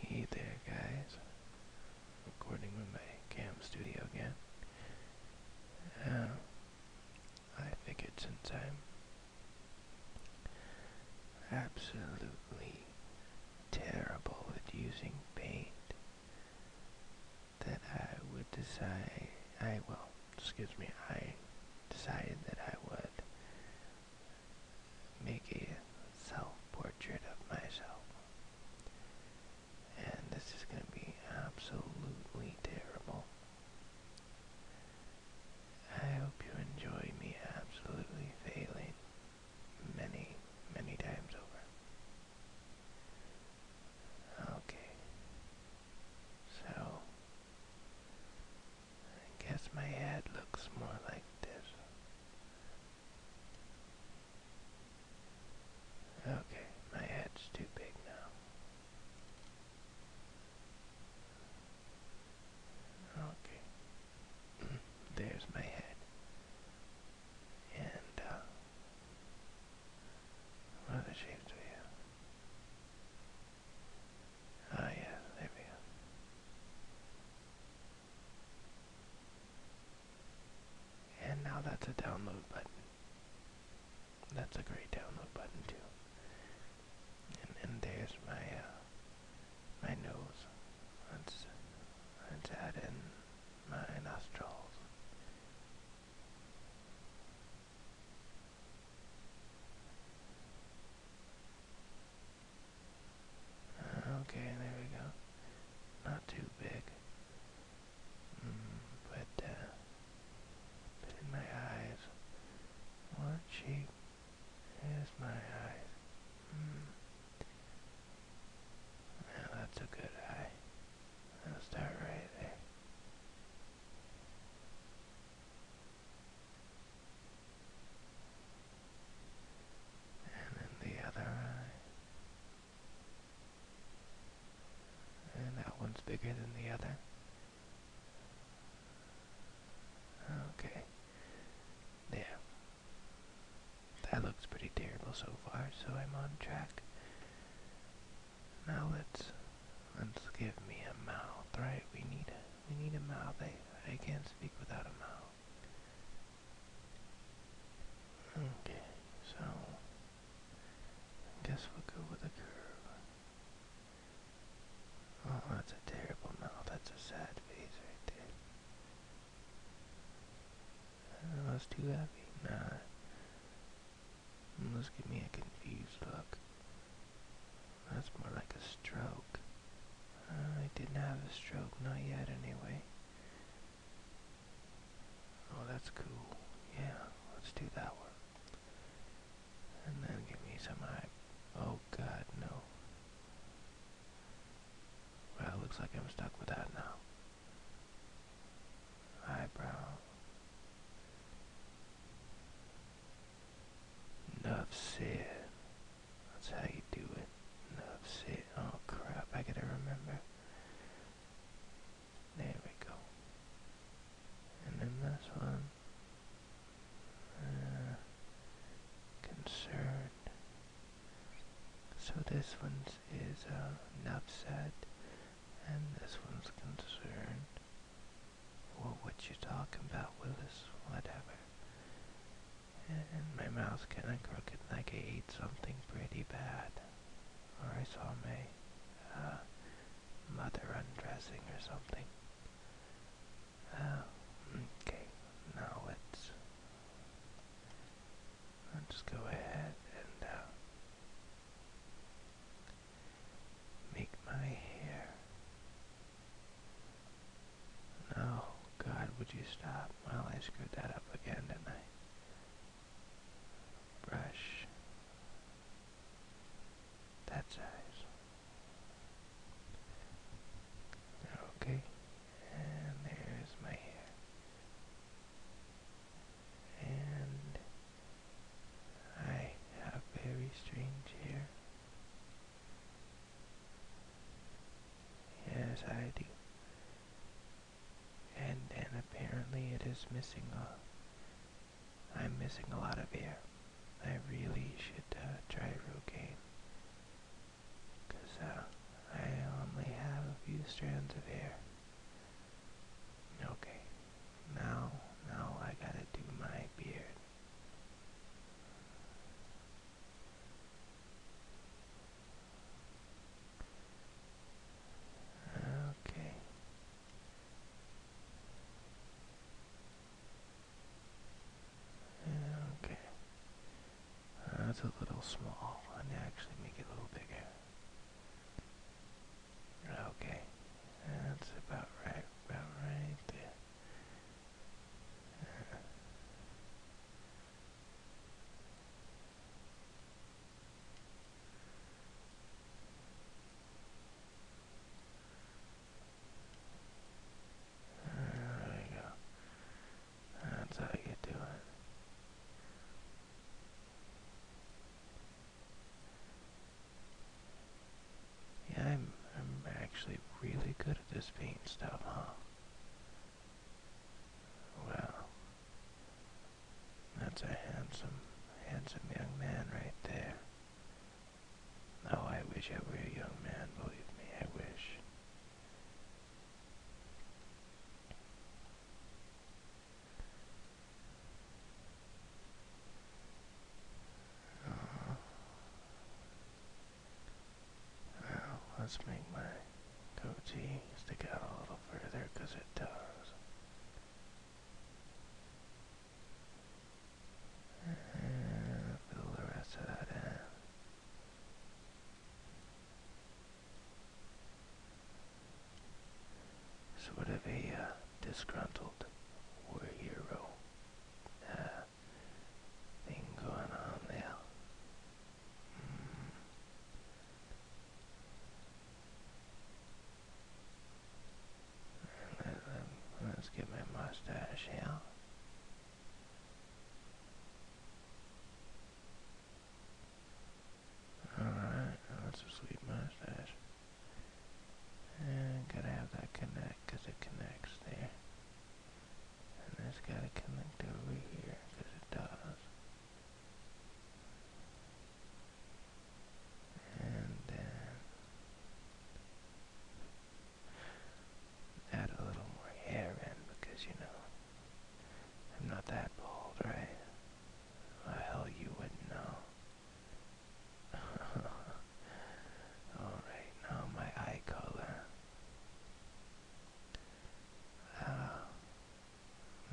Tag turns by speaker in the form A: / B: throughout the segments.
A: Hey there guys, recording with my cam studio again. Uh, I figured since I'm absolutely terrible at using paint, that I would decide, I, well, excuse me, I decided that I would make a self portrait of myself. And this is going to be absolutely terrible. I hope you enjoy me absolutely failing many, many times over. Okay. So, I guess my head looks more like this. Okay, my head's too big now. Okay, there's my head. And, uh, what other shapes do we Ah, yeah, there we go. And now that's a download button. That's a great download button too. And, and there's my uh, my nose. Let's let's add in my nostrils. Okay, there we go. Not too big. Mm, uh, but, in my eyes. What cheap is my eyes? Now hmm. that's a good eye. I'll start right there. And then the other eye. And that one's bigger than the other. Okay. There. That looks pretty terrible so far, so I'm on track. Now let's let's give me a mouth, right? We need it. I need a mouth. I, I can't speak without a mouth. Okay, so guess we'll go with a curve. Oh, that's a terrible mouth. That's a sad face right there. Uh, oh, that's too heavy. Nah. Let's give me a confused look. That's more like a stroke. Uh, I didn't have a stroke, not yet anyway. Oh, that's cool. Yeah, let's do that one. And then give me some hype. Oh god, no. Well, it looks like I'm stuck with that now. Eyebrow. Enough that's how you do it. That's Oh crap, I gotta remember. There we go. And then this one. Uh, concerned. So this one's is a uh, an and this one's concerned. What what you talking about, Willis? Whatever. And my mouth's kinda crooked like I ate something pretty bad. Or I saw my, uh, mother undressing or something. Oh, okay. Now let's... Let's go ahead and, uh, Make my hair Oh God, would you stop? Well, I screwed that up again, didn't I? Brush. That size. Okay, and there's my hair. And I have very strange hair. Yes, I do. And then apparently it is missing a... I'm missing a lot of hair. I really should uh, try Rogaine. Because uh, I only have a few strands of hair. Okay, now, now I gotta do my beard. Okay. Okay. That's a little small. I need to actually make it a little bigger. Okay. That's about right. About right there. There you go. That's how you do it. Yeah, I'm, I'm actually really good at this paint stuff, huh? Well, that's a handsome, handsome young man right there. Oh, I wish I were a young man, believe me, I wish. Uh let's make my goatee stick out a little further because it does. fill the rest of that in. Sort of a uh, disgruntled war hero. Uh, thing going on there. Hmm. Let, us get my mustache out. Alright, that's a sweet mustache. And gotta have that connect because it connects there. And that's got to connect over here, because it does. And then add a little more hair in, because, you know, I'm not that bald, right? hell, you wouldn't know. Alright, now my eye color. Uh,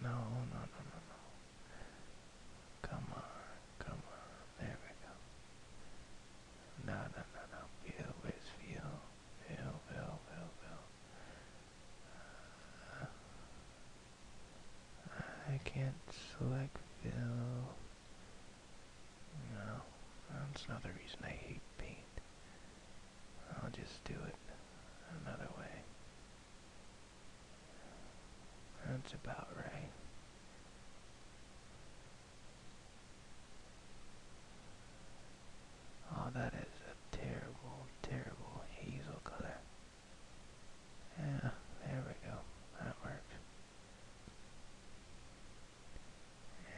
A: no, no, no, no, no. Come on, come on. There we go. No, no, no, no. Feel, where's feel? Feel, feel, feel, feel. Ah, I can't select feel. No, that's another reason I hate paint. I'll just do it another way. That's about right. Oh, that is a terrible, terrible hazel color. Yeah, there we go. That works.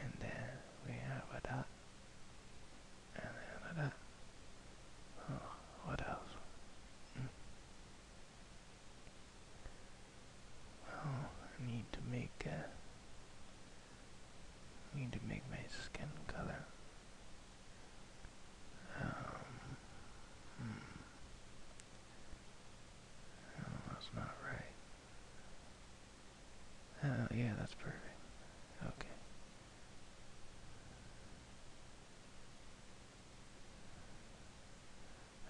A: And then we have a dot. And then a dot. Oh, what else? Mm. I need to make a. I need to make my skin color. Um, hmm. No, that's not right. Oh, yeah, that's perfect. Okay.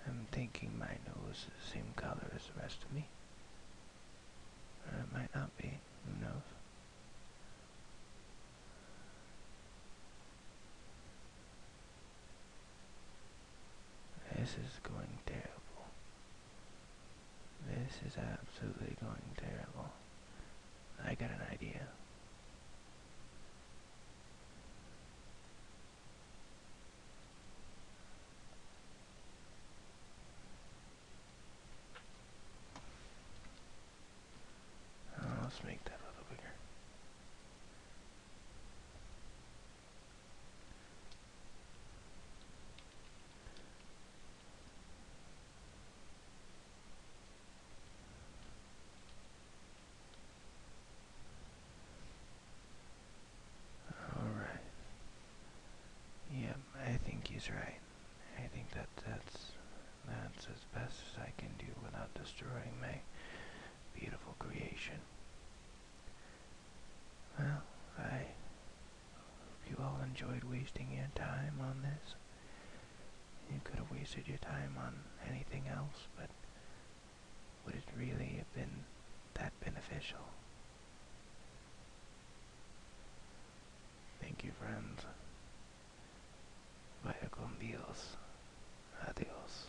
A: I'm thinking my nose is the same color as the rest of me. Or it might not be. Who knows? This is going terrible. This is absolutely going terrible. I got an idea. Oh, let's make that a little bigger. All right. Yeah, I think he's right. I think that that's that's as best as I can do without destroying my beautiful creation. Well, I hope you all enjoyed wasting your time on this. You could have wasted your time on anything else, but would it really have been that beneficial? Thank you, friends. Vaya con Dios. Adios.